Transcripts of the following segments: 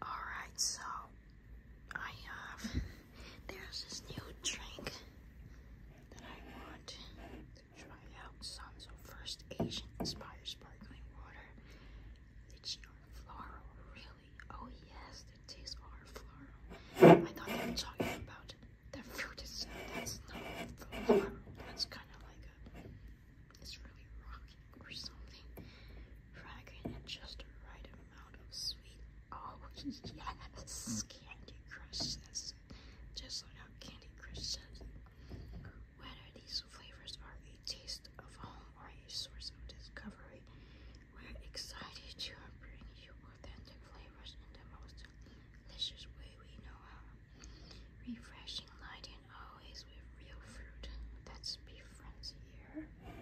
Alright, so I have there's this new drink that I want to try out some. first Asian inspired sparkling water. It's your floral, really. Oh yes, the tastes are floral. I thought they were talking about the fruit itself. That's not floral. That's kinda like like a, it's really rocking or something. Fragrant and just the right amount of sweet. Oh yes, Candy Crush says it. Just like how Candy Crush says it. Whether these flavors are a taste of home or a source of discovery, we're excited to bring you authentic flavors in the most delicious way we know how. Refreshing lighting always with real fruit. That's beef friends here. Daily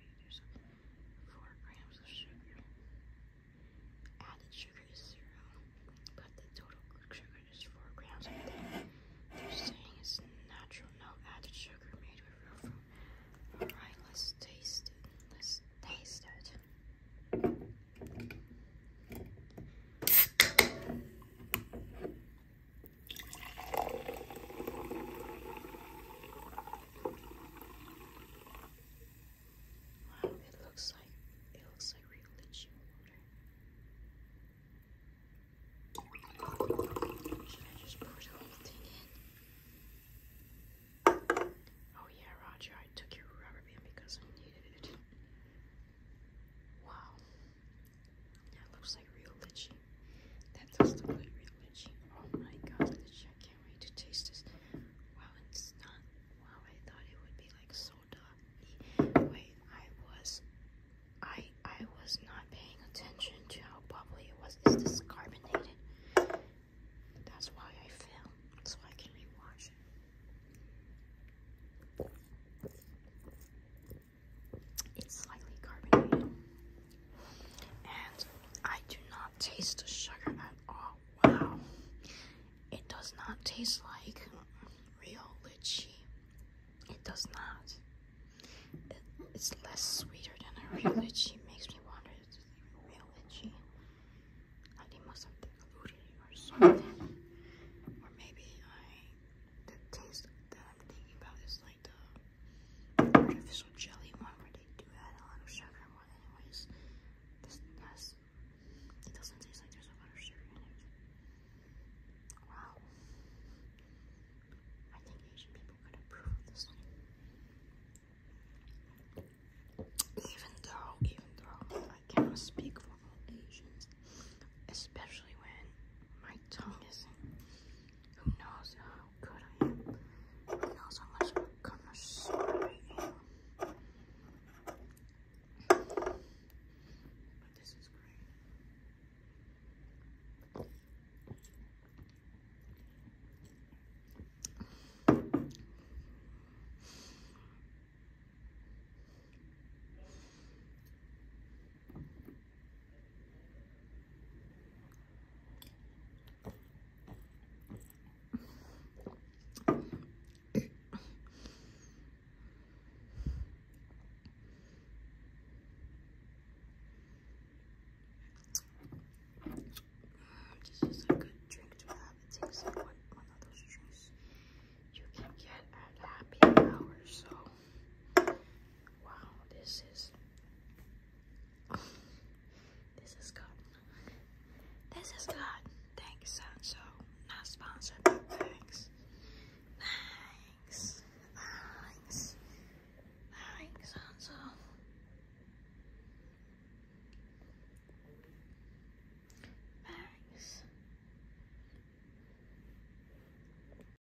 value, four grams of sugar. Added sugar is zero, but the total sugar is four grams. They're saying it's natural, no added sugar, made with real fruit. All right, let's taste it. Let's taste it. Wow, it looks like it looks like real litchi water. Should I just pour the whole thing in? Oh yeah, Roger, I took your rubber band because I needed it. Wow. That looks like real lychee. That does like real lychee. Oh my god, let can't wait to taste this. Wow, it's not. Wow, I thought it would be like soda. Wait, I was, I, I was not paying attention to how bubbly it was. Is carbonated? That's why I failed. So I can rewatch it. It's slightly carbonated, and I do not taste of sugar at all. Wow. It does not taste like real lychee. It does not. it's less sweeter than a real lychee. Makes me wonder if it's even real lychee. Like they must have diluted it or something. Or maybe I, the taste that I'm thinking about is like the artificial jelly one where they do add a lot of sugar more one anyways. This it doesn't taste like there's a lot of sugar in it. Wow. I think Asian people could approve this one. Even though, even though I cannot speak for all Asians, especially when my tongue is who knows good I am. He knows how much I am. But this is great. This is a good drink to have. It takes like one, one of those drinks you can get at happy hour, so Wow, this is this is good. This is good. Thanks, Sanso. Not sponsored. Thanks. Thanks. Thanks. Thanks, Sanso. Thanks.